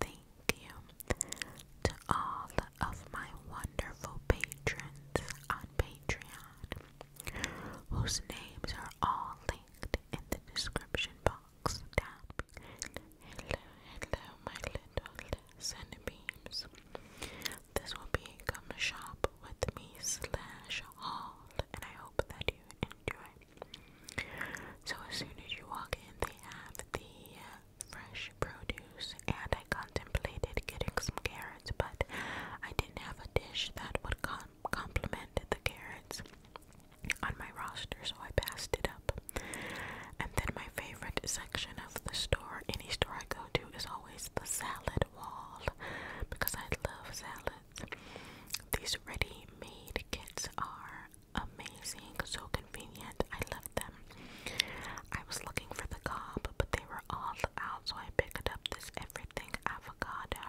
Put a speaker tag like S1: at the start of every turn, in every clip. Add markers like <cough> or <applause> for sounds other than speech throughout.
S1: Thank you to all of my wonderful patrons on Patreon, whose names are all linked in the description box down Hello, hello, my little centipede. This will be Come Shop With Me slash haul, and I hope that you enjoy. So as soon as you walk in, they have the uh, fresh produce, and I contemplated getting some carrots, but I didn't have a dish that would com complement the carrots on my roster, so I passed it up. And then my favorite section of the store, any store I go to, is always the salad wall because I love salads. These ready-made kits are amazing, so convenient. I love them. I was looking for the cob, but they were all out, so I picked up this everything avocado,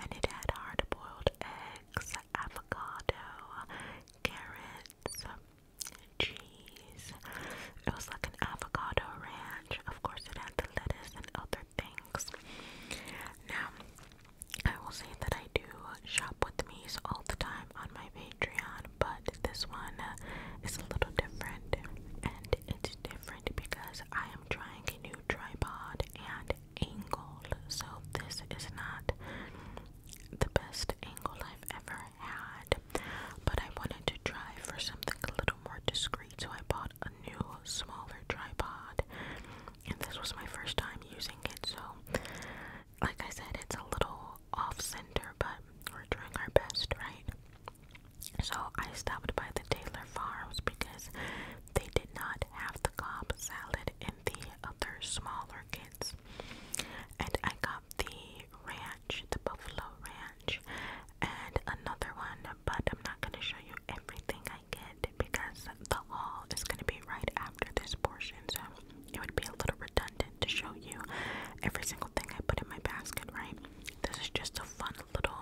S1: and it had hard-boiled eggs, avocado, carrots, cheese. It was like an avocado ranch. Of course, it had the lettuce and other things. Now, I will say that I do shop with me's all the time on my Patreon, but this one is a little different, and it's different because I am trying a new tripod and angle. So this is not the best angle I've ever had, but I wanted to try for something a little more discreet, so I bought a new smaller tripod. And this was my first time using it, so like I said, it's a little off center, but we're doing our best, right? So I stopped by the Taylor Farms because they did not have the Cobb salad in the other smaller kits. And I got the ranch, the buffalo ranch, and another one, but I'm not going to show you everything I get because the haul is going to be right after this portion, so it would be a little redundant to show you every single thing I put in my basket, right? This is just a fun little,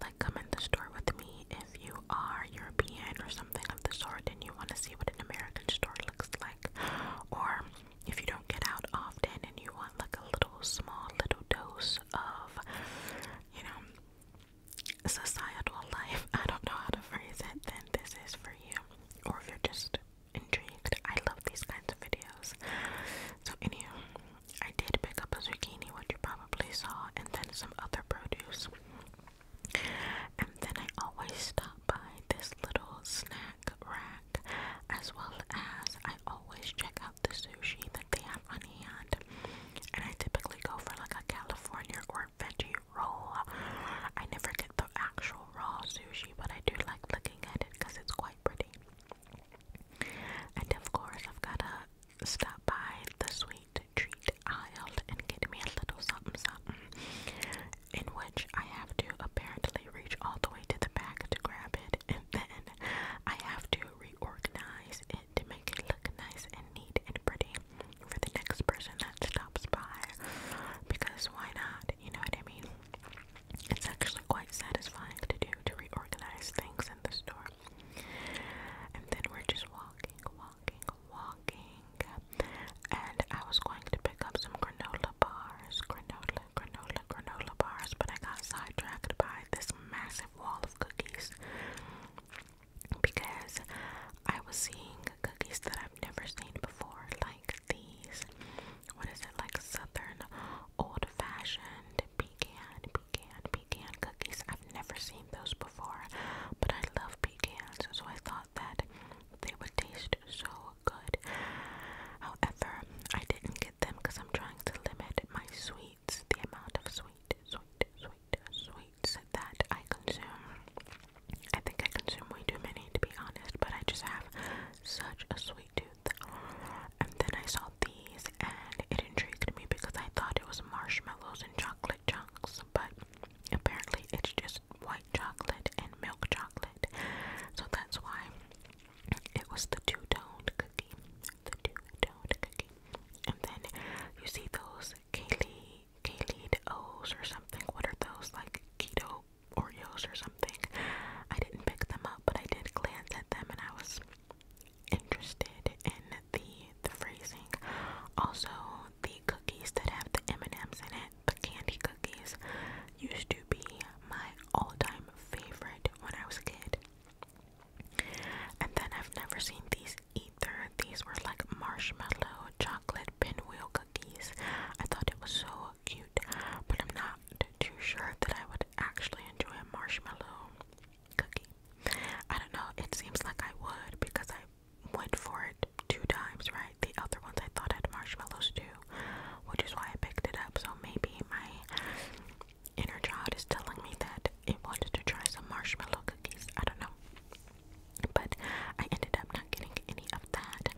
S1: like, come in the store with me if you are European or something of the sort and you want to see what an American store looks like, or if you don't get out often and you want, like, a little small, little dose of, you know, societal life, I don't know how to phrase it, then this is for you. Or if you're just intrigued, I love these kinds of videos. So, anyhow, I did pick up a zucchini, which you probably saw, and then some other produce. And then I always stop by this little snack rack, as well as I always check out the sushi that they have on hand. And I typically go for like a California or veggie roll. I never get the actual raw sushi, but I do like looking at it because it's quite pretty. And of course, I've gotta stop by the sweet treat aisle and get me a little something something. In which I have to apparently reach all the way to the back to grab it, and then I have to reorganize it to make it look nice and neat and pretty for the next person that stops by because why not? You know what I mean? It's actually quite satisfying to do to reorganize things in the store. And then we're just walking, walking, walking. And I was going to pick up some granola bars, granola, granola, granola bars, but I got sidetracked by this massive wall of cookies because I was seeing cookies that I've never seen before, like these. What is it like southern old fashioned pecan, pecan, pecan cookies? I've never seen those before, but I love pecans, so I thought that they would taste so good. However, I didn't get them because I'm trying to limit my sweets, the amount of sweet, sweet, sweet, sweet that I consume. I think I consume way too many to be honest, but I just have such a sweet tooth. And then I saw these and it intrigued me because I thought it was marshmallows and chocolate chunks, but apparently it's just white chocolate and milk chocolate. So that's why it was the two toned cookie. The two toned cookie. And then you see those Kaylee Kaleed O's or something. What are those like keto Oreos or something? I didn't pick them up, but I did glance at them and I was interested in the the phrasing. Also, the cookies that have the M&Ms in it, the candy cookies, used to be my all-time favorite when I was a kid. And then I've never seen these these either. These were like marshmallow chocolate pinwheel cookies. I thought it was so cute, but I'm not too sure that I would actually enjoy a marshmallow cookie. I don't know, it seems like I would because I went for it two times, right? The other ones I thought had marshmallows too, which is why I picked it up. So maybe my inner child is telling me that it wanted to try some marshmallow cookies. I don't know. But I ended up not getting any of that.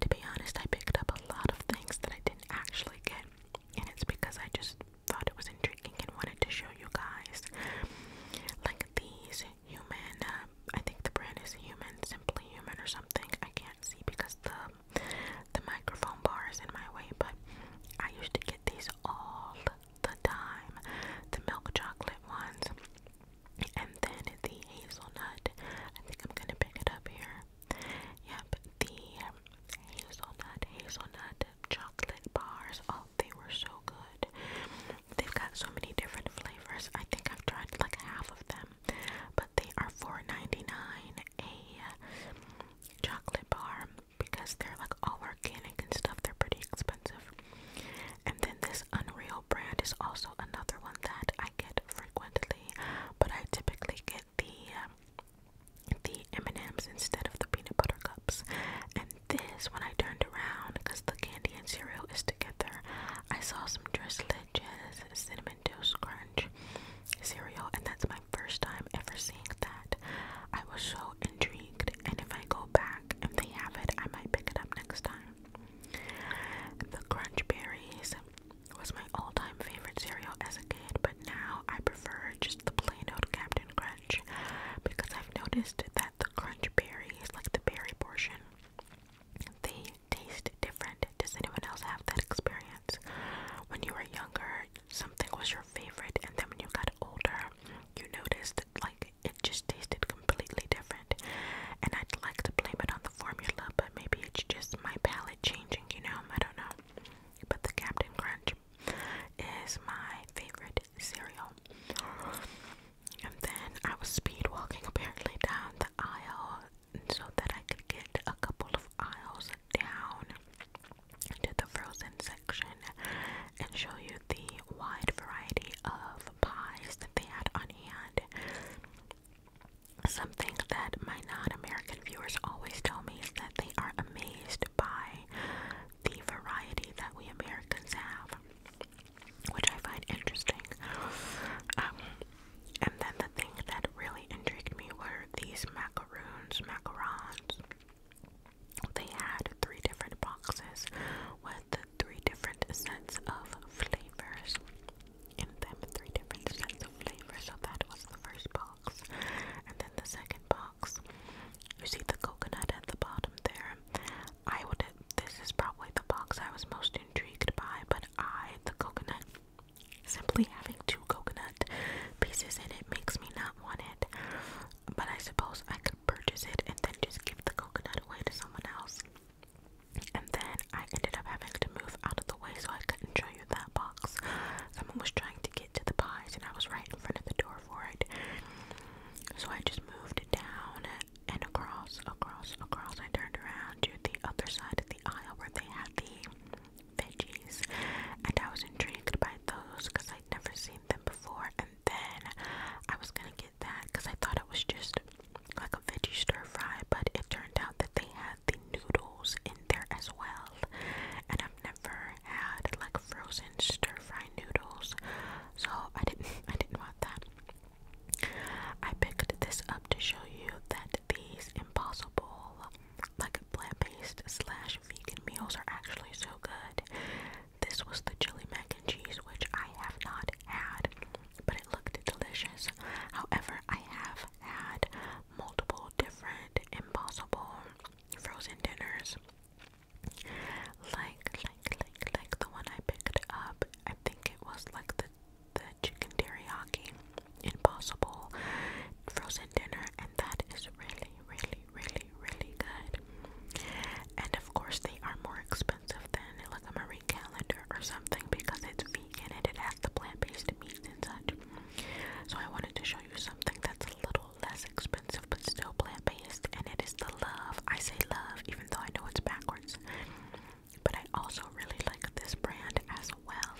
S1: To be honest, I picked up a lot of things that I didn't actually get, and it's because I just thought it was intriguing and wanted to show you guys. Like these human, uh, I think the brand is Human, Simply Human or something. I can't see because the the microphone bar is in my way, but I used to get these all the time, the milk chocolate ones, and then the hazelnut. I think I'm gonna pick it up here. Yep, the hazelnut, hazelnut chocolate bars. Oh, they were so good. They've got so many different flavors. I think I've tried like half of them, but they are 4.99 a chocolate bar because they're like all organic and stuff. They're pretty expensive. And then this Unreal brand is also another one that I get frequently, but I typically get the um, the M&Ms instead of the peanut butter cups. And this, when I turned around, because the candy and cereal is together, I saw some Dress cinnamon toast crunch cereal, and that's my first time ever seeing that. I was so intrigued and if I go back and they have it, I might pick it up next time. The Crunch Berries was my all time favorite cereal as a kid, but now I prefer just the plain old Captain Crunch because I've noticed that the Crunch Berries, like the berry portion, they taste different. Does anyone else have that experience? When you were younger, something was your favorite, and then when you got older, you noticed like it just tasted completely different. And I'd like to blame it on the formula, but maybe it's just my palate changing, you know? I don't know. But the Captain Crunch is my favorite cereal. And then I was speed walking apparently down the aisle so that I could get a couple of aisles down into the frozen section and show you the wide variety of pies that they had on hand. Something that my non American viewers always tell me is that they are amazed by the variety that we Americans have, which I find interesting. Um, and then the thing that really intrigued me were these macaroons, macarons. They had three different boxes with three different sets of flavors in them, three different sets of flavors. So that was the first box, and then the second box. You see the coconut at the bottom there. I would. This is probably the box I was most intrigued by, but I the coconut. Simply having two coconut pieces in it makes me not want it. But I suppose I could purchase it and then just give the coconut away to someone else. And then I ended up having to move out of the way so I couldn't show that box. Someone was trying to get to the pies and I was right in front of the door for it. So I just moved it down and across, across, across. I turned around to the other side of the aisle where they had the veggies. And I was intrigued by those because I'd never seen than before, and then I was gonna get that because I thought it was just like a veggie stir fry, but it turned out that they had the noodles in there as well. And I've never had like frozen stir fry noodles, so I didn't <laughs> I didn't want that. I picked this up to show you that these impossible like plant-based slash vegan meals are actually so good this was the chili mac and cheese, which I have not had, but it looked delicious. However, I have had multiple different impossible frozen dinners. Like, like, like, like the one I picked up. I think it was like the the chicken teriyaki impossible frozen dinner, and that is really really, really, really, really good. And of course, they are more expensive than like a Marie Calendar or something because it's vegan and it has the plant-based meats and such. So I wanted to show you something that's a little less expensive but still plant-based, and it is the Love. I say Love, even though I know it's backwards. But I also really like this brand as well.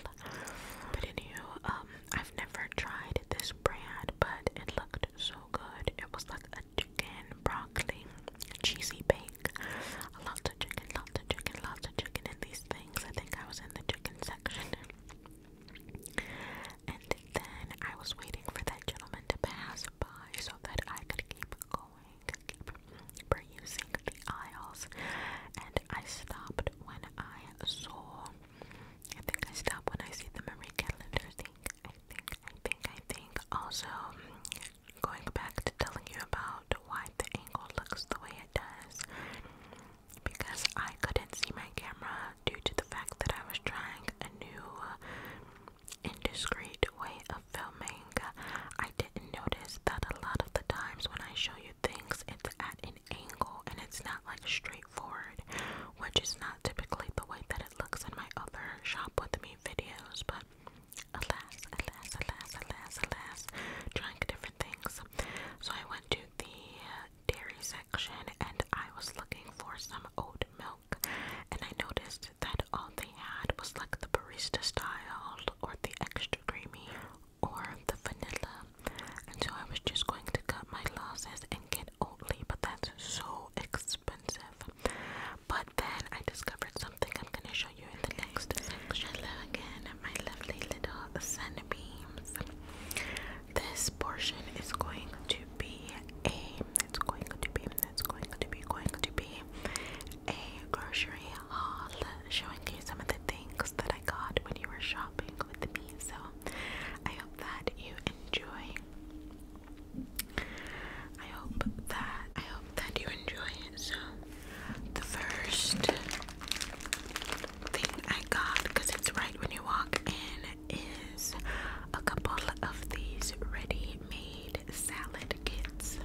S1: But anywho, um, I've never tried this brand, but it looked so good. It was like chicken, broccoli, cheesy bake. Lots of chicken, lots of chicken, lots of chicken in these things. I think I was in the chicken section. And then I was waiting for that gentleman to pass by so that I could keep going, keep perusing the aisles. And I stopped when I saw, I think I stopped when I see the Marie Calendar thing. I think, I think, I think also mm, going back to telling you about why the angle looks the way it does because I couldn't see my camera due to the fact that I was trying a new uh, indiscreet way of filming. I didn't notice that a lot of the times when I show you things, it's at an angle and it's not like straight straightforward, which is not typically the way that it looks in my other shop with me videos, but alas, alas, alas, alas, alas, trying different things. So I went to the dairy section and I was looking for some oat milk, and I noticed that all they had was like the barista style or the extra creamy or the vanilla. And so I was just going to cut my losses and get at but that's so expensive. But then I discovered something I'm gonna show you in the next section. again, my lovely little sunbeams. This portion is going to be a. It's going to be. It's going to be. Going to be a grocery haul, showing you some of the things that I got when you were shopping with me. So I hope that you enjoy I hope that I hope that you enjoy it. So the first thing I got, because it's right when you walk in, is a couple of these ready-made salad kits.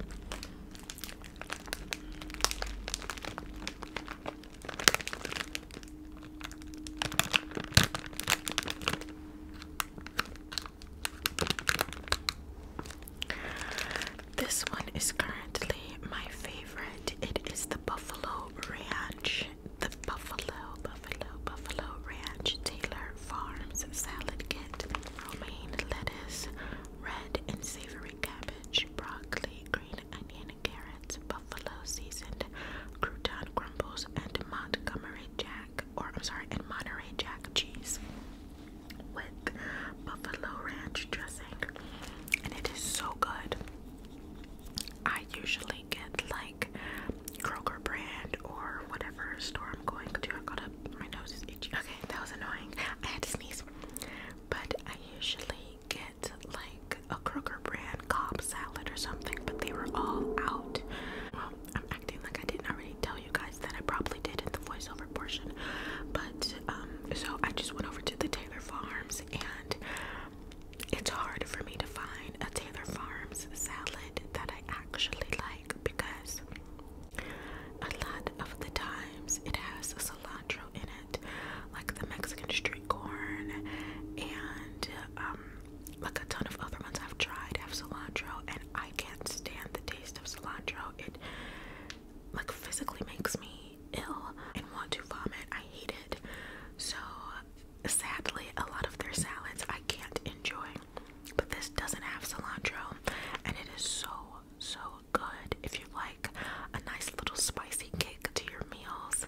S1: This one is currently my favorite. It is the Buffalo Ranch. The Buffalo, Buffalo, Buffalo Ranch Taylor Farms Salad Kit. Romaine lettuce, red and savory cabbage, broccoli, green onion, carrot buffalo seasoned crouton crumbles, and Montgomery Jack, or I'm sorry, and Monterey Jack cheese with buffalo ranch dressing, and it is so good. I usually get like Kroger brand or whatever store I'm going to. I got a, my nose is itchy. Okay, that was annoying. I had to sneeze, but I usually get like a Kroger brand Cobb salad or something, but they were all out. I'm acting like I didn't already tell you guys that I probably did in the voiceover portion, but um, so I just went over to the Taylor Farms, and it's hard for me to find a Taylor Farms salad that I actually like because a lot of the times it has cilantro in it, like the Mexican street corn and um, like a ton of other ones I've tried have cilantro, and I can't stand the taste of cilantro. It like physically makes me ill and want to vomit. I hate it. So sadly, a lot of their salads I can't enjoy. But this doesn't have cilantro, and it is so so good. If you like a nice little spicy kick to your meals,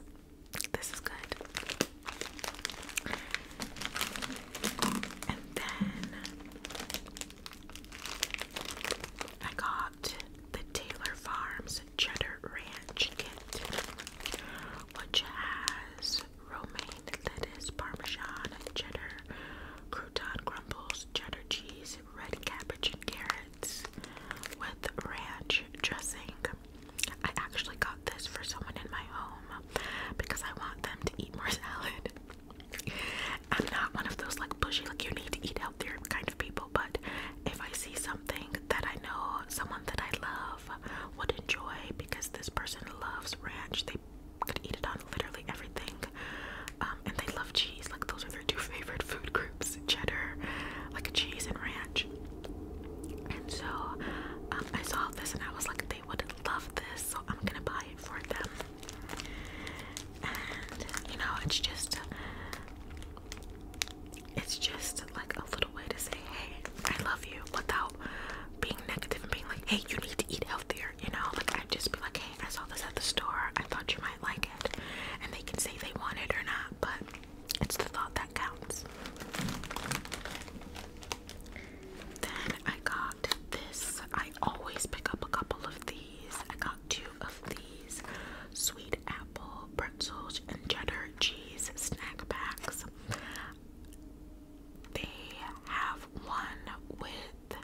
S1: this is good. And then I got the Taylor Farms Cheddar Ranch Kit, which has romaine lettuce, parmesan, cheddar, crouton crumbles, cheddar cheese, red cabbage, and carrots with ranch dressing. I actually got this for someone in my home because I want them to eat more <laughs> salad. I'm not one of those like bushy, like you need to eat healthier kind of people, but if I see something that I know someone that I love would enjoy because this person loves ranch, they could eat it on literally everything. Um, and they love cheese, like those are their two favorite food groups cheddar, like a cheese and ranch. And so um, I saw this and I was like, they would love this, so I'm gonna buy it for them. And you know, it's just, it's just like a little way to say, hey, I love you without being negative and being like, hey, you need to eat healthier, you know? Like, I'd just be like, hey, I saw this at the store, I thought you might like it. And they can say they want it or not, but it's the thought that counts. Then I got this. I always pick up a couple of these. I got two of these sweet apple pretzels and cheddar cheese snack packs. They have one with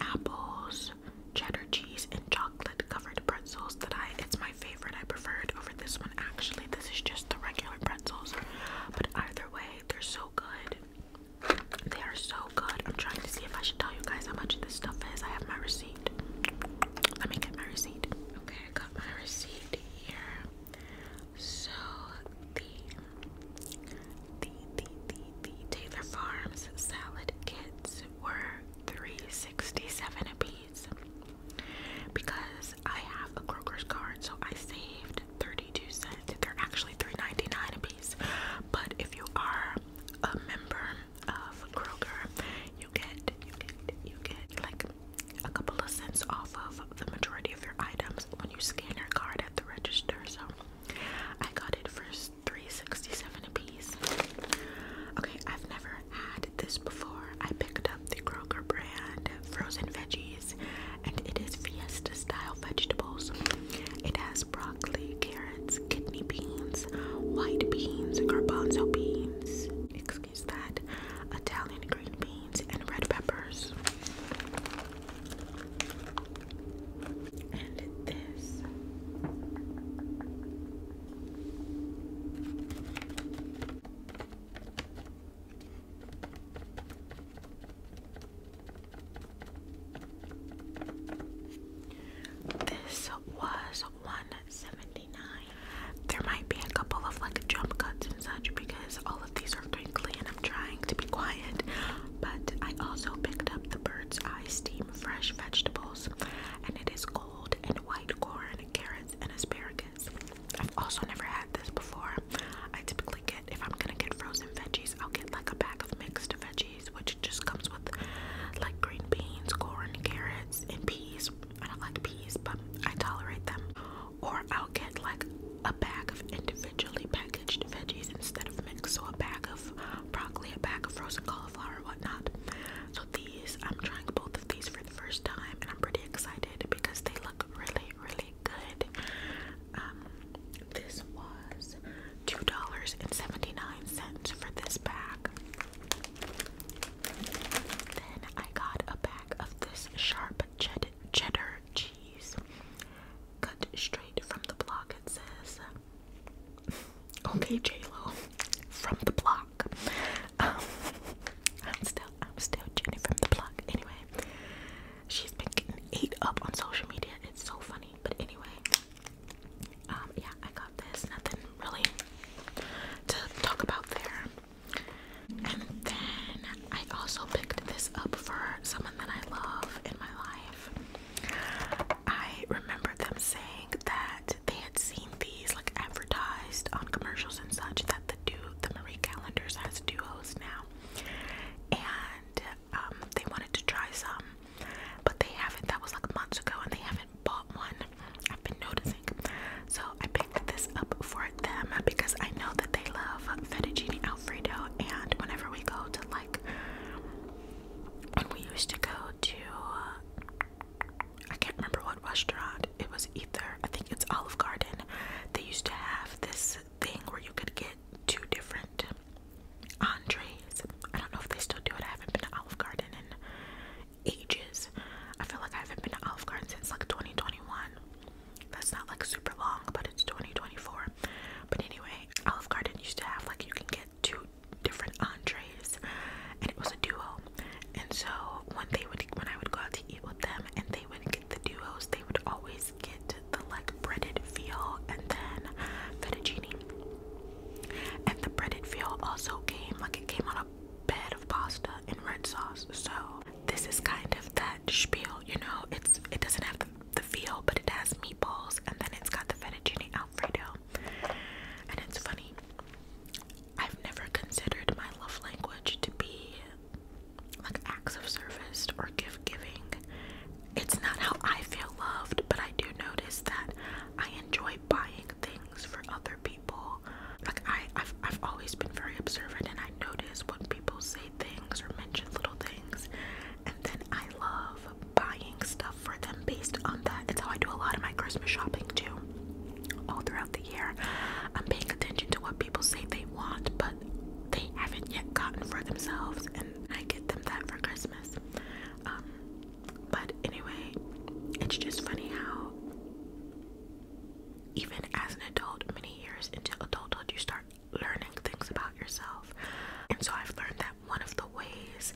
S1: apples, cheddar cheese, and chocolate covered pretzels that I it's my favorite. I prefer it over this one actually. This is just the regular pretzels, but either way, they're so good. They are so good. I'm trying to see if I should tell you guys how much this stuff is. I have my receipt. Let me get my receipt. Okay, I got my receipt here. So the the the the, the Taylor Farms salad kits were 367 a piece because I have a Kroger's card, so I saved 32 cents. They're actually 3.99 a piece, but if you are a member of Kroger, you get you get you get like a couple of cents off of the majority of your items when you scan your card at the register. So I got it for 3.67 a piece. Okay, I've never had this before. I picked up the Kroger brand frozen veggies, and it is fiesta style vegetables. It has broccoli, carrots, kidney beans, white beans, garbanzo beans, excuse that, Italian green beans, and red peppers. And this. This was 179. There might be a couple of like jump cuts and such because all of these are crinkly and i trying to be quiet. But I also picked up the Bird's Eye Steam Fresh Vegetables and it is gold and white corn carrots and asparagus. I've also never had this before. I typically get, if I'm gonna get frozen veggies, I'll get like a bag of mixed veggies, which just comes with like green beans, corn, carrots, and peas. I don't like peas, but I tolerate them. Or I'll get like a bag of individually packaged veggies instead of mixed, so a bag of broccoli, a bag of frozen cauliflower, whatnot. So these, I'm trying both of these for first time and I'm pretty excited because they look really, really good. Um, this was $2.79 for this bag. Then I got a bag of this sharp cheddar, cheese cut straight from the block, it says. <laughs> Okay, JLo, from the block. Um, I'm still, I'm still Jenny from the block. Anyway, she's been getting ate up on social media. It's so funny. But anyway, um, yeah, I got this. Nothing really to talk about there. And then I also picked this up for someone that I love in my life. I remember them saying that they had seen these like advertised on commercials and such that the do the Marie Callender's has duos now, and um, they wanted to try some, but they haven't. That was like months ago, and they haven't bought one. I've been noticing, so I picked this up for them because I know that they love fettuccine alfredo, and whenever we go to like when we used to go to uh, I can't remember what restaurant it was either. I think it's Olive Garden. They used to have this thing where you could get two different entrees. I don't know if they still do it. I haven't been to Olive Garden in ages. I feel like I haven't been to Olive Garden since like 2021. That's not like super long, but it's 2024. But anyway, Olive Garden used to have like you can get two different entrees, and it was a duo and so when they would when I would go out to eat with them, and they would get the duos, they would always get the like breaded veal and then fettuccine. And the breaded veal also came like it came on a bed of pasta and red sauce. So this is kind of that spiel, you know. It's it doesn't have the, feel, but it has meatballs, and then it's got the fettuccine alfredo. And it's funny. I've never considered my love language to be like acts of service or gift giving. It's not how I feel loved, but I do notice that I enjoy buying things for other people. Like I, have I've always been very observant, and I notice when people say things or mention little things, and then I love buying stuff for them based on that. It's how I do a lot of my Christmas shopping too all throughout the year. I'm paying attention to what people say they want, but they haven't yet gotten for themselves, and I get them that for Christmas. Um, but anyway, it's just funny how, even as an adult, many years into adulthood, you start learning things about yourself. And so I've learned that one of the ways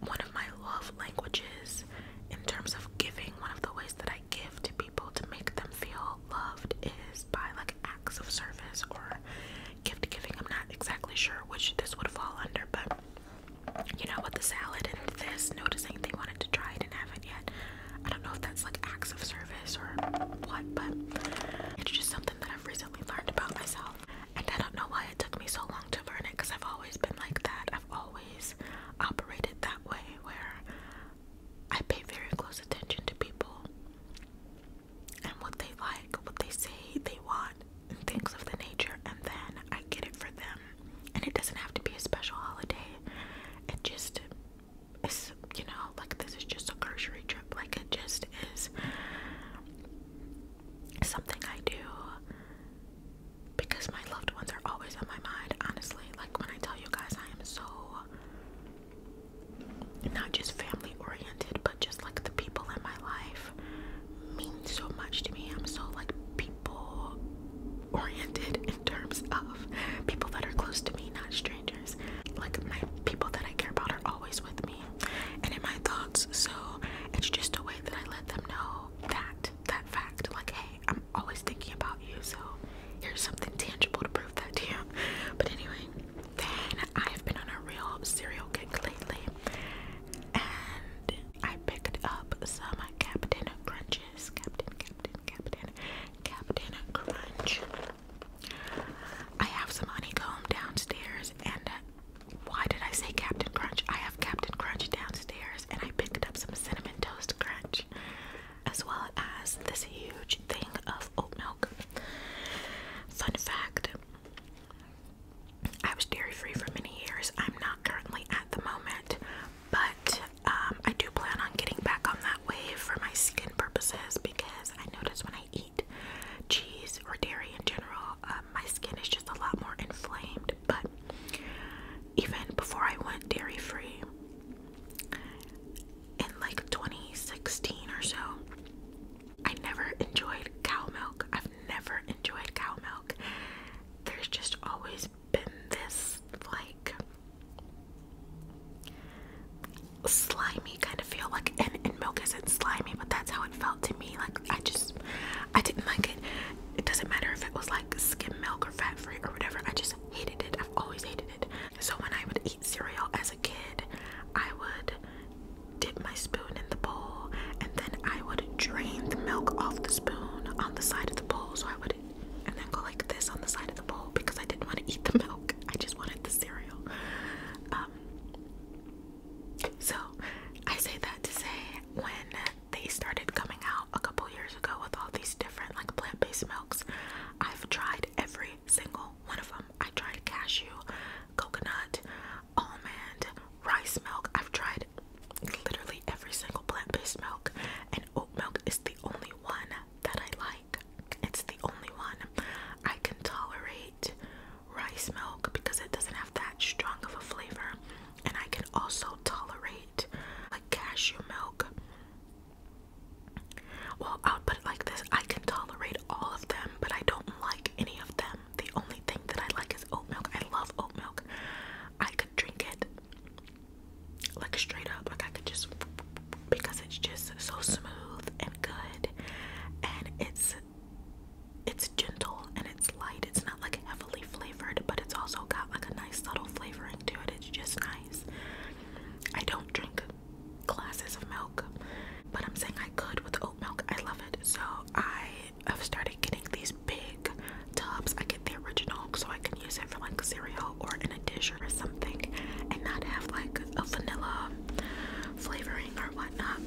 S1: one of my love languages in terms of giving, one of the ways that I give to people to make them feel loved is by like acts of service or gift giving. I'm not exactly sure which this would fall under, but you know, with the salad and this, noticing they wanted to try it and haven't yet. I don't know if that's like acts of service or what, but it's just something that I've recently learned about myself. And I don't know why it took me so long to learn it because I've always been like that. I've always operated that way where I pay very close attention to people and what they like, what they say they want, and things of the nature, and then I get it for them. And it doesn't have to be a special holiday. It just is, you know, like this is just a grocery trip. Like it just is something I do because my loved ones are always on my mind, honestly. Like when I tell you guys, I am so not just family oriented, but just like the people in my life mean so much to me. I'm so like people oriented in terms of people that are close to me, not strangers. Like my people that I care about are always with me and in my thoughts. So it's just a way that I let them know that that fact, like, hey. I'm always thinking about you, so here's something tangible to prove that to you. But anyway, then I've been on a real cereal kick lately, and I picked up some Captain Crunches. Captain, Captain, Captain, Captain Crunch. I have some honeycomb downstairs, and why did I say Captain Crunch? I have Captain Crunch downstairs, and I picked up some Cinnamon Toast Crunch, as well as this huge thing of oat milk. Fun fact I was dairy free for many years. I'm not currently at the moment, but um, I do plan on getting back on that wave for my skin purposes because I notice when I eat cheese or dairy in general, uh, my skin is just a lot more inflamed. But even before I went dairy free in like 2016 or so. I never enjoyed cow milk. I've never enjoyed cow milk. There's just always been this like slimy kind of feel like and, and milk isn't slimy but that's how it felt to me like I just I didn't like it. It doesn't matter if it was like skim milk or fat free or whatever. I just hated it. I've always hated it. So when I would eat cereal as a kid, I would dip my spoon in the bowl and then I would drain the milk off the spoon on the side of the bowl. So I would and then go like this on the side of the bowl because I didn't want to eat the milk. <laughs> I just wanted the cereal. Um, so I say that to say when they started coming out a couple years ago with all these different like plant-based milks. I've tried every single one of them. I tried cashew, coconut, almond, rice milk. I've tried literally every single plant-based milk and oat milk is the only one that I like. It's the only one I can tolerate rice milk because it doesn't have that strong of a flavor, and I can also tolerate like cashew milk. Well, i put it like this I can tolerate all of them, but I don't like any of them. The only thing that I like is oat milk. I love oat milk. I could drink it like straight up, like I could just because it's just so smooth and good and it's it's gentle and it's light. It's not like heavily flavored, but it's also got like a nice subtle flavoring to it. It's just nice. I don't drink glasses of milk, but I'm saying I could with oat milk. I love it. So I have started getting these big tubs. I get the original so I can use it for like cereal or in a dish or something and not have like a vanilla flavoring or whatnot.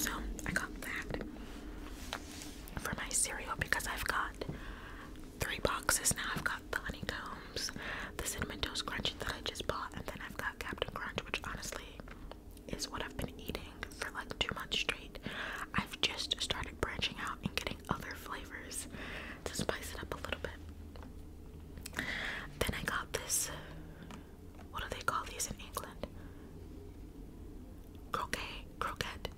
S1: So I got that for my cereal because I've got three boxes now. I've got the honeycombs, the cinnamon toast crunchy that I just bought, and then I've got Captain Crunch, which honestly is what I've been eating for like two months straight. I've just started branching out and getting other flavors to spice it up a little bit. Then I got this what do they call these in England? croquet, croquette.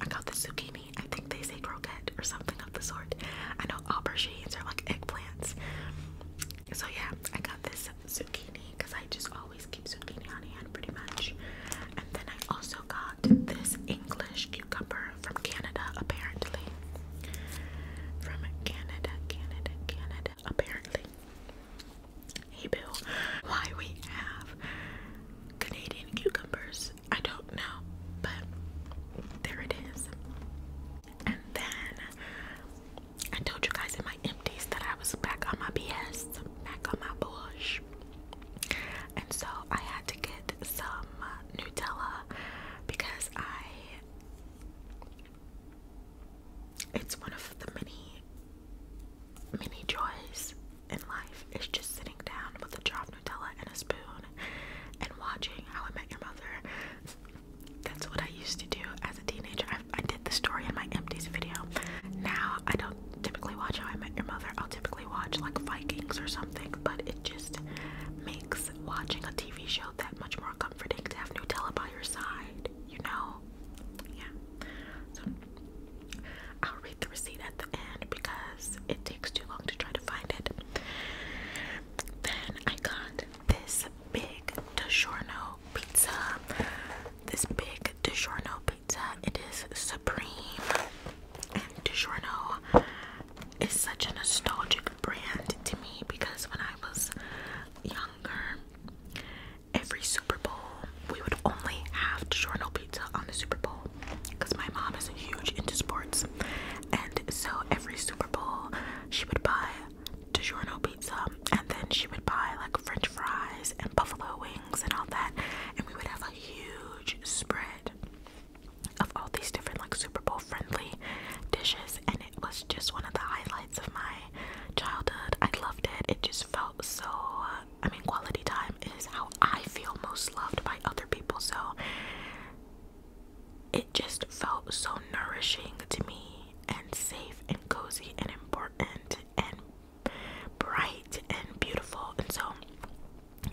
S1: I got the zucchini. I think they say croquette or something of the sort. I know aubergines are like eggplants. So yeah, I got this zucchini because I just always keep zucchini on hand pretty much. And then I also got this English cucumber from Canada apparently. From Canada, Canada, Canada apparently hey Bill. why we have Canadian cucumbers, I don't know, but there it is. And then I told you guys in my empties that I was back on my BS, back on my bush. And so I had to get some Nutella because I it's one of the many Many joys in life is just sitting down with a jar of Nutella and a spoon and watching How I Met Your Mother. That's what I used to do as a teenager. I, did the story in my empties video. Now I don't typically watch How I Met Your Mother. I'll typically watch like Vikings or something, but it just makes watching a TV show that much more comforting to have Nutella by your side, you know? Yeah. So I'll read the receipt at the end because it takes too long to try to find it. Then I got this big DiGiorno pizza. This big DiGiorno pizza. It is supreme. And DiGiorno is such a nostalgic brand to me because when I was younger every Super Bowl, we would only have DiGiorno pizza on the Super Bowl because my mom is huge into sports. And so every Super Bowl, she would buy DiGiorno pizza and then she would buy like french fries and buffalo wings and all that. And we would have a huge spread of all these different like Super Bowl friendly dishes. And it was just one of the highlights of my childhood. I loved it. It just felt so. I mean, quality time is how I feel most loved by other people. So it just felt so nourishing to me, and safe, and cozy, and important, and bright, and beautiful. And so,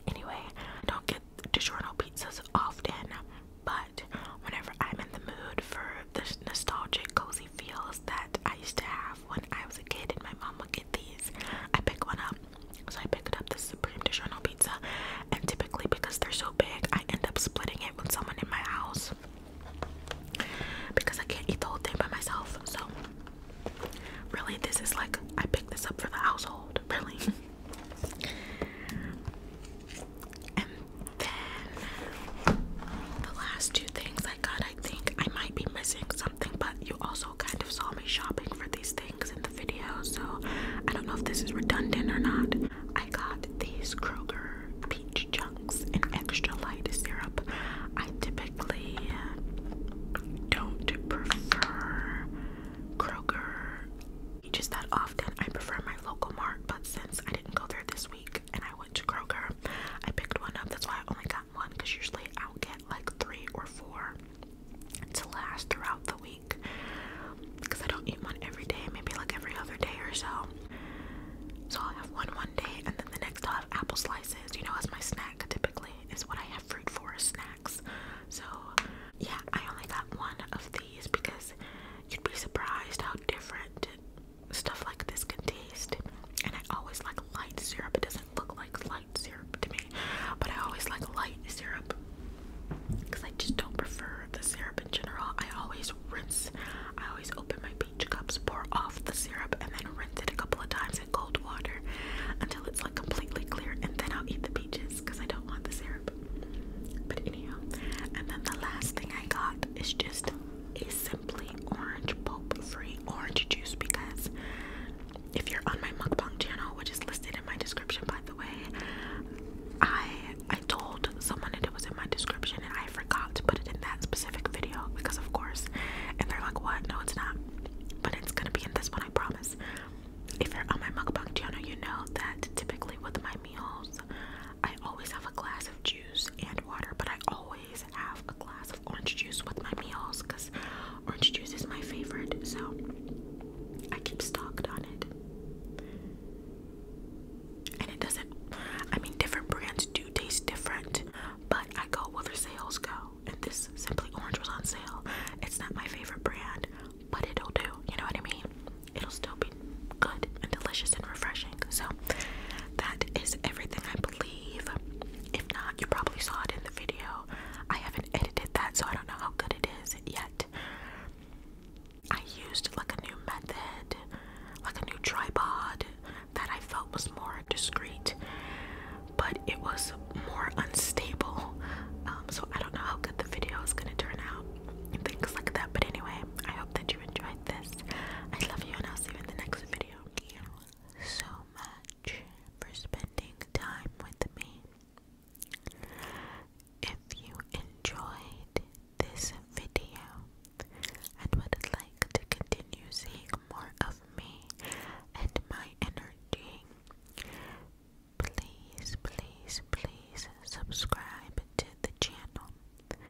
S1: anyway, I don't get DiGiorno pizzas often, but whenever I'm in the mood for the nostalgic cozy feels that I used to have when I was a kid and my mom would get these. I pick one up. So I picked up the Supreme DiGiorno pizza and typically because they're so big I end up splitting it with someone in my house because I can't eat the whole thing by myself. So really this is like I picked this up for the household, really. <laughs> then the last two things I got, I think I might be missing something, but you also kind of saw me shopping for these things in the video, so I don't know if this is redundant or not. I got these Kroger peach chunks in extra light syrup. I typically don't prefer Kroger just that often. I prefer my local mark, but since I didn't go there this week, and I went to Kroger. I picked one up. That's why I only got one because usually I'll get like three or four to last throughout the week because I don't eat one every day, maybe like every other day or so. So I'll have one one day and then the next I'll have apple slices, you know, as my snack typically is what I have fruit for snacks. So yeah, I only got one of these because you'd be surprised how different stuff like this can taste. And I always like light syrup. It doesn't look like light syrup to me, but I always like light syrup because I just don't prefer the syrup in general. I always rinse. I always open my peach cups, pour off the syrup, and then rinse it a couple of times in cold water until it's like completely clear, and then I'll eat the peaches because I don't want the syrup. But anyhow, and then the last thing I got is just is simply orange pulp free orange juice because if you're on my mukbang channel, which is listed in my description by the way, I I told someone that it was in my description and I forgot to put it in that specific video because of course and they're like what no it's not but it's gonna be in this one I promise. If you're on my mukbang channel you know that typically with my meals I always have a glass of juice and water but I always always have a glass of orange juice with my meals because orange juice is my favorite, so I keep stocked on it. And it doesn't, I mean, different brands do taste different, but I go where the sales go. And this Simply Orange was on sale. It's not my favorite brand, but it'll do. You know what I mean? It'll still be good and delicious and refreshing. So that is everything, I believe. If not, you probably saw it in the video. I haven't edited that, so I don't know how good it is yet. I used like a new method, like a new tripod that I felt was more discreet, but it was more unstable. Um, so I don't know how good the video is going to turn out and things like that. But anyway, I hope that you enjoyed this. I love you, and I'll see you in the next video. so much for spending time with me. If you enjoyed this video and would like to continue seeing more of me and my energy, please, please, please subscribe to the channel.